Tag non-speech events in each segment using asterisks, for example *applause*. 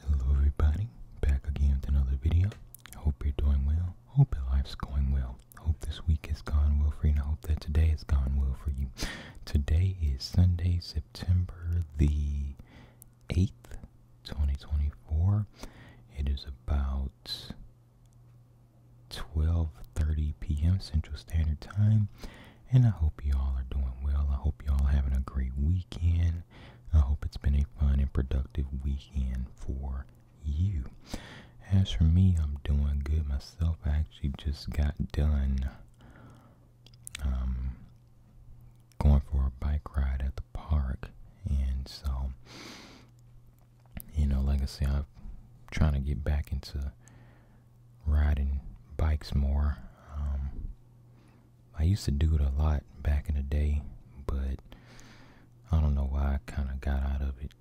Hello everybody, back again with another video. Hope you're doing well. Hope your life's going well. Hope this week has gone well for you hope that today has gone well for you. Today is Sunday, September the 8th, 2024. It is about 12:30 p.m. Central Standard Time and I hope you all are doing well. I hope you all having a great weekend. I hope it's been a fun and productive weekend for you. As for me, I'm doing good myself. I actually just got done um, going for a bike ride at the park. And so, you know, like I said, I'm trying to get back into riding bikes more. Um, I used to do it a lot back in the day, but I don't know why I kind of got out of it.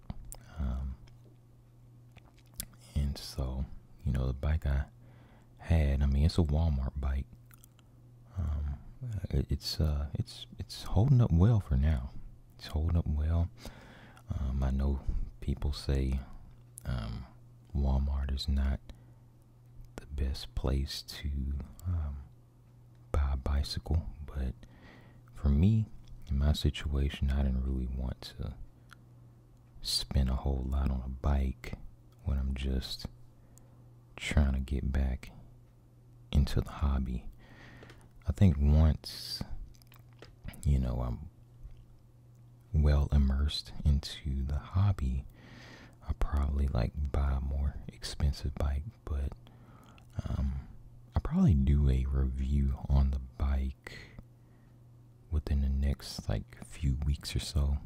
Um, and so, you know, the bike I had, I mean, it's a Walmart bike. Um, it's uh, it's it's holding up well for now. It's holding up well. Um, I know people say um, Walmart is not the best place to um, buy a bicycle, but for me, in my situation, I didn't really want to spend a whole lot on a bike when I'm just trying to get back into the hobby. I think once, you know, I'm well immersed into the hobby, I probably like buy a more expensive bike, but um, I probably do a review on the bike within the next like few weeks or so.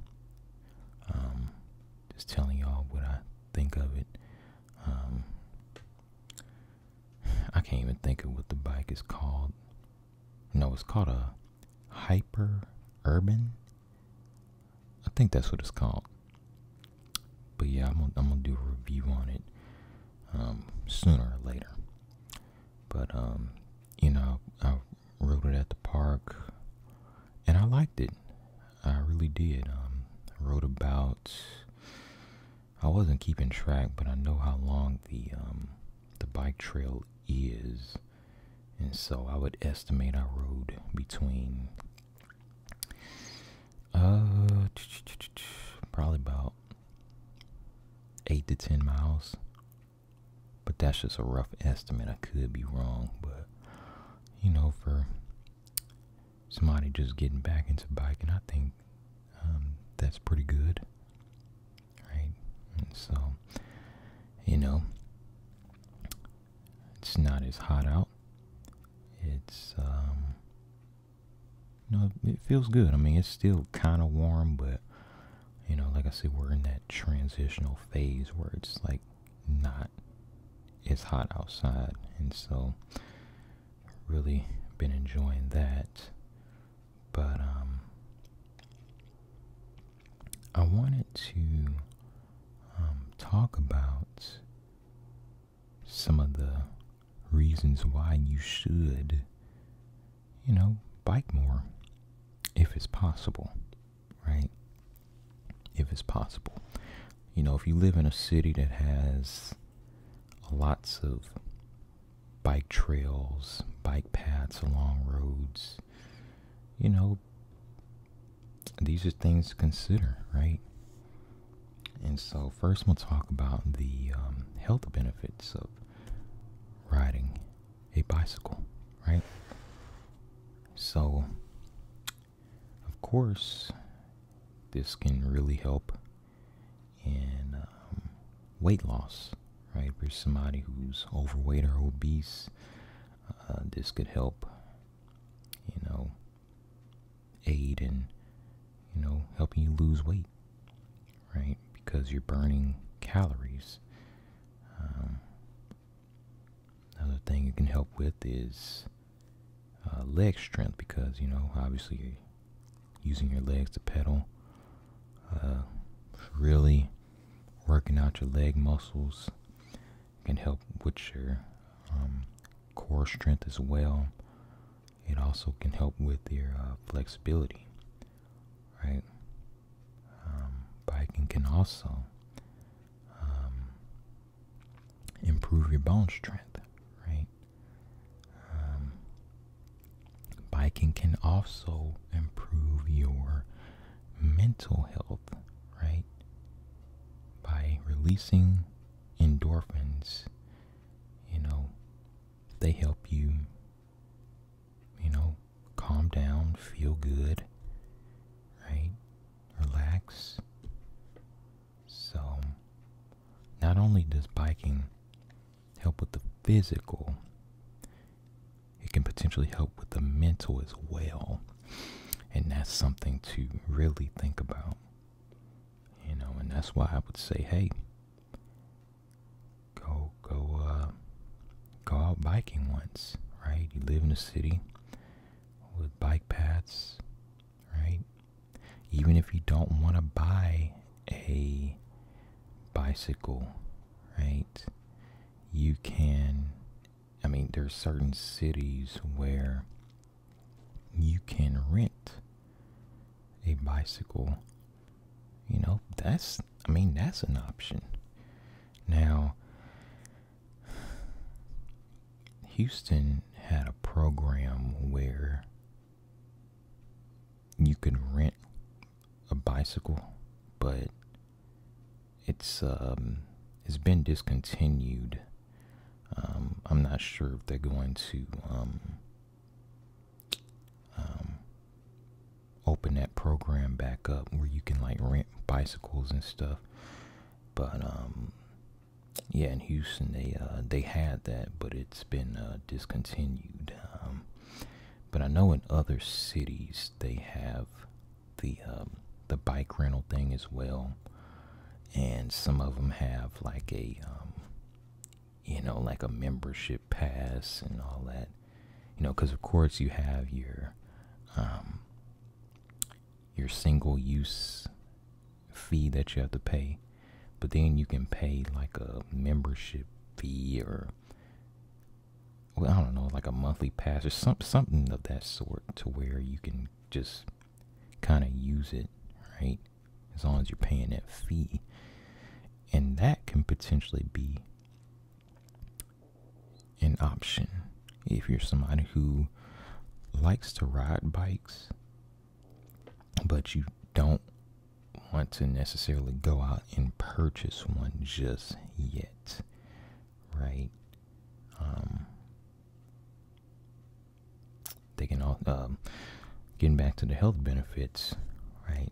Um, just telling y'all what I think of it. Um, I can't even think of what the bike is called. No, it's called a hyper urban. I think that's what it's called. But yeah, I'm gonna, do a review on it um, sooner or later. But um, you know, I rode it at the park, and I liked it. I really did. Um, I rode about. I wasn't keeping track, but I know how long the um, the bike trail is. And so I would estimate I rode between uh probably about eight to ten miles. But that's just a rough estimate. I could be wrong, but you know, for somebody just getting back into biking, I think um, that's pretty good right? And so, you know, it's not as hot out. It's, um, you it feels good. I mean, it's still kind of warm, but, you know, like I said, we're in that transitional phase where it's like not as hot outside. And so, really been enjoying that. But um, I wanted to um, talk about some of the reasons why you should, you know, bike more if it's possible, right? If it's possible. You know, if you live in a city that has lots of bike trails, bike paths along roads, you know, these are things to consider, right? And so, first, we'll talk about the um, health benefits of riding a bicycle, right? So, of course, this can really help in um, weight loss, right? For somebody who's overweight or obese, uh, this could help, you know, aid in, you know, helping you lose weight, right? Because you're burning calories. Um, another thing it can help with is uh, leg strength because, you know, obviously using your legs to pedal uh, really working out your leg muscles can help with your um, core strength as well. It also can help with your uh, flexibility, right? Um, biking can also um, improve your bone strength, right? biking can also improve your mental health, right? By releasing endorphins, you know, they help you, you know, calm down, feel good, right? Relax. So, not only does biking help with the physical, it can potentially help with the mental as well. And that's something to really think about. You know, and that's why I would say, hey, go go uh, go out biking once, right? You live in a city with bike paths, right? Even if you don't want to buy a bicycle, right? you can I mean there are certain cities where you can rent a bicycle. You know, that's I mean that's an option. Now Houston had a program where you can rent a bicycle, but it's um it's been discontinued. Um, I'm not sure if they're going to um, um, open that program back up where you can like rent bicycles and stuff. But um, yeah, in Houston they uh, they had that, but it's been uh, discontinued. Um, but I know in other cities they have the um, the bike rental thing as well, and some of them have like a um, you know like a membership pass and all that, you know, because of course you have your um, your single use fee that you have to pay, but then you can pay like a membership fee or well, I don't know, like a monthly pass or some, something of that sort to where you can just kind of use it, right? As long as you're paying that fee. And that can potentially be an option if you're somebody who likes to ride bikes, but you don't want to necessarily go out and purchase one just yet, right? Um, they can all, um, getting back to the health benefits, right?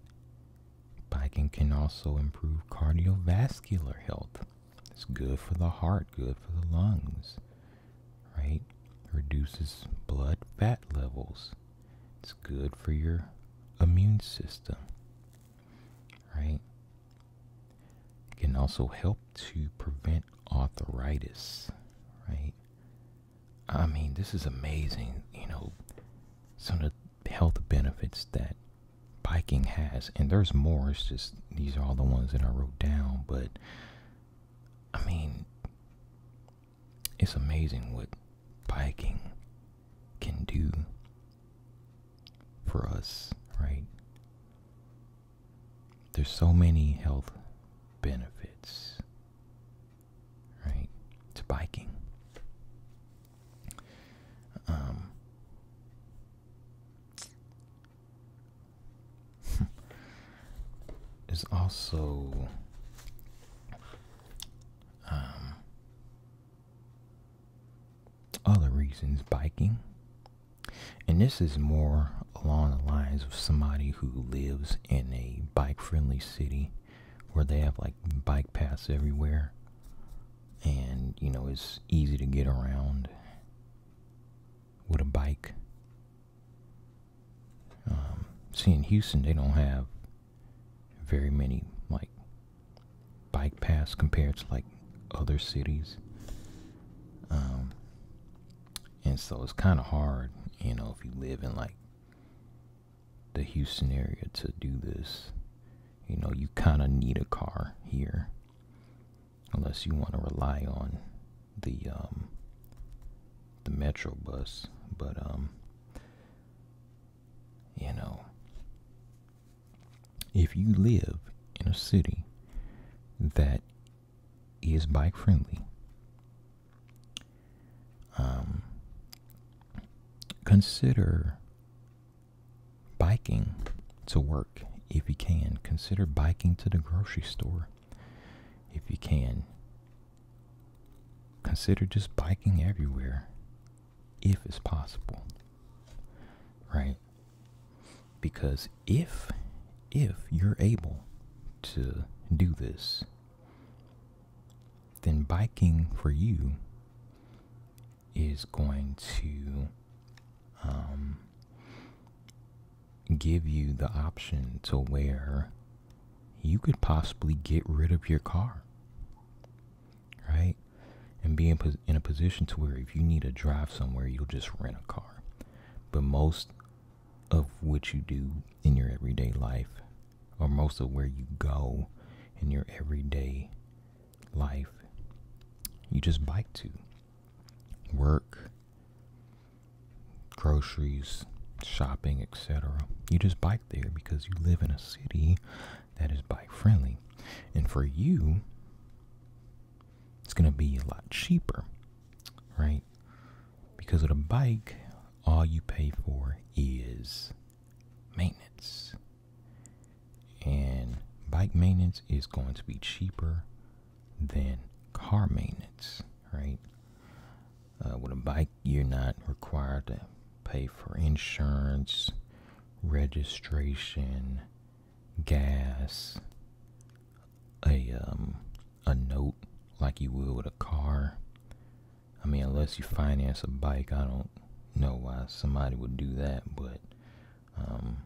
Biking can also improve cardiovascular health. It's good for the heart, good for the lungs, right? Reduces blood fat levels. It's good for your immune system right? It can also help to prevent arthritis, right? I mean, this is amazing, you know, some of the health benefits that biking has. And there's more, it's just these are all the ones that I wrote down, but I mean, it's amazing what biking can do for us, right? There's so many health benefits, right, to biking. Um, *laughs* is also um, other reasons biking. And this is more along the lines of somebody who lives in a bike friendly city where they have like bike paths everywhere and you know it's easy to get around with a bike. Um, see, in Houston, they don't have very many like bike paths compared to like other cities. Um, and so it's kind of hard, you know, if you live in like the Houston area to do this. You know, you kind of need a car here unless you want to rely on the um, the metro bus. But um, you know, if you live in a city that is bike friendly, um, consider biking to work if you can. Consider biking to the grocery store if you can. Consider just biking everywhere if it's possible right because if if you're able to do this then biking for you is going to um, give you the option to where you could possibly get rid of your car right? And be in, in a position to where if you need to drive somewhere, you'll just rent a car. But most of what you do in your everyday life, or most of where you go in your everyday life, you just bike to work, groceries, shopping, etc. You just bike there because you live in a city that is bike friendly. And for you, it's going to be a lot cheaper, right? Because with a bike, all you pay for is maintenance. And bike maintenance is going to be cheaper than car maintenance, right? Uh, with a bike, you're not required to pay for insurance, registration, gas, a um a note like you would with a car. I mean, unless you finance a bike, I don't know why somebody would do that, but um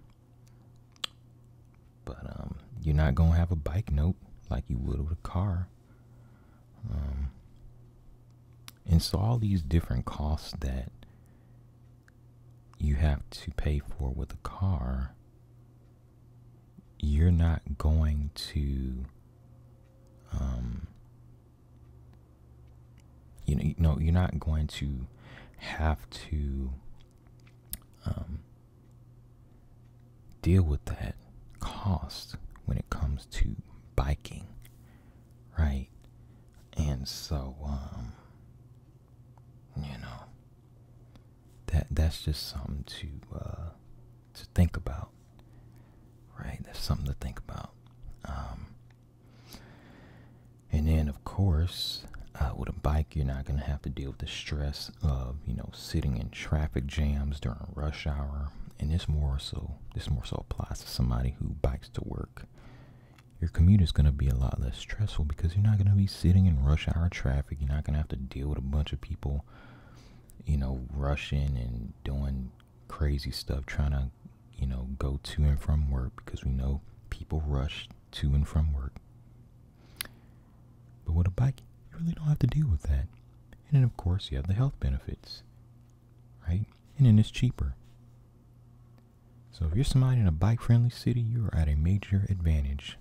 but um you're not going to have a bike note like you would with a car. Um, and so all these different costs that you have to pay for with a car, you're not going to, um, you know, you you're not going to have to um, deal with that cost when it comes to biking right? And so, um, you know, that that's just something to uh, to think about, right? That's something to think about. Um, and then, of course, uh, with a bike, you're not going to have to deal with the stress of, you know, sitting in traffic jams during rush hour. And it's more so this more so applies to somebody who bikes to work. Your commute is going to be a lot less stressful because you're not going to be sitting in rush hour traffic. You're not going to have to deal with a bunch of people, you know, rushing and doing crazy stuff, trying to, you know, go to and from work because we know people rush to and from work. But with a bike, you really don't have to deal with that. And then, of course, you have the health benefits, right? and it's cheaper. So if you're somebody in a bike-friendly city, you are at a major advantage.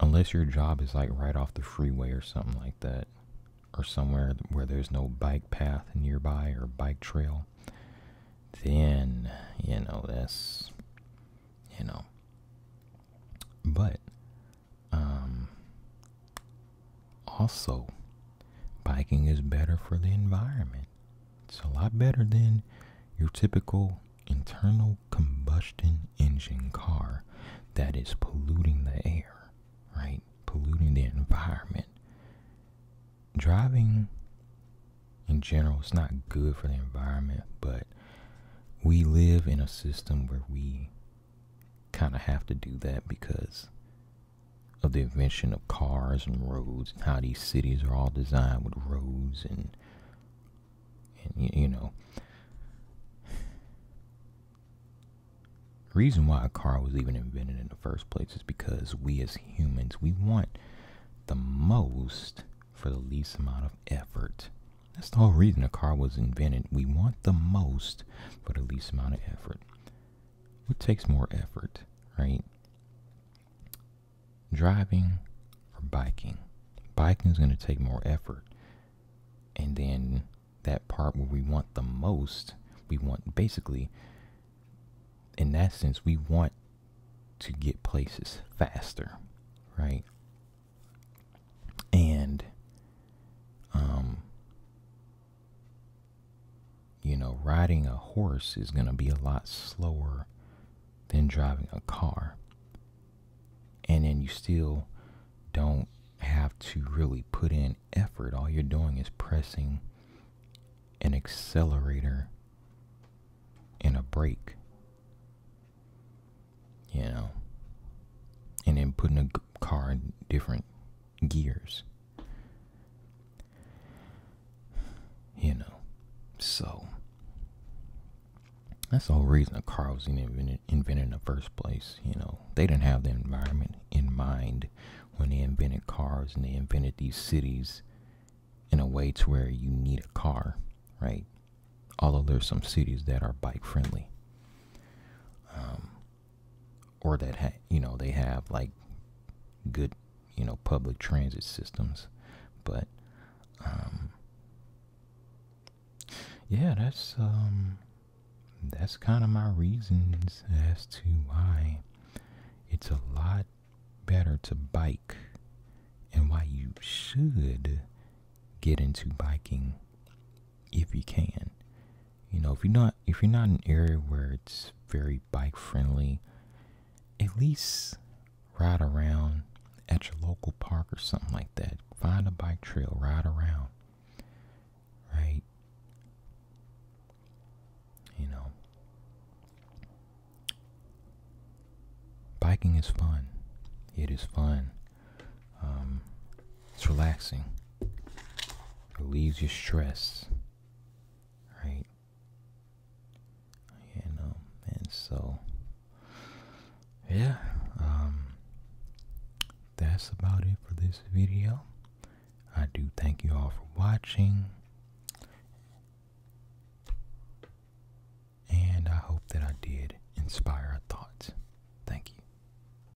Unless your job is like right off the freeway or something like that, or somewhere where there's no bike path nearby or bike trail, then you know this, you know. But um, also, biking is better for the environment. It's a lot better than your typical internal combustion engine car that is polluting the air, right? Polluting the environment. Driving in general is not good for the environment, but we live in a system where we kind of have to do that because of the invention of cars and roads and how these cities are all designed with roads and and you know reason why a car was even invented in the first place is because we as humans we want the most for the least amount of effort that's the whole reason a car was invented we want the most for the least amount of effort what takes more effort, right? Driving or biking? Biking is going to take more effort. And then that part where we want the most, we want basically, in that sense, we want to get places faster, right? And um, you know, riding a horse is going to be a lot slower than driving a car. And then you still don't have to really put in effort. All you're doing is pressing an accelerator and a brake. You know, and then putting a car different Gears, You know, so that's the whole reason the cars were invented, invented in the first place. You know, they didn't have the environment in mind when they invented cars and they invented these cities in a way to where you need a car, right? Although there's some cities that are bike friendly. Um, or that you know they have like good you know public transit systems but um yeah that's um that's kind of my reasons as to why it's a lot better to bike and why you should get into biking if you can. You know, if you're not if you're not in an area where it's very bike friendly, at least ride around at your local park or something like that. Find a bike trail, ride around. Right? You know. Biking is fun. It is fun. Um, it's relaxing. It Relieves your stress. Right? You know, and so yeah, um, that's about it for this video. I do thank you all for watching. And I hope that I did inspire a thought. Thank you.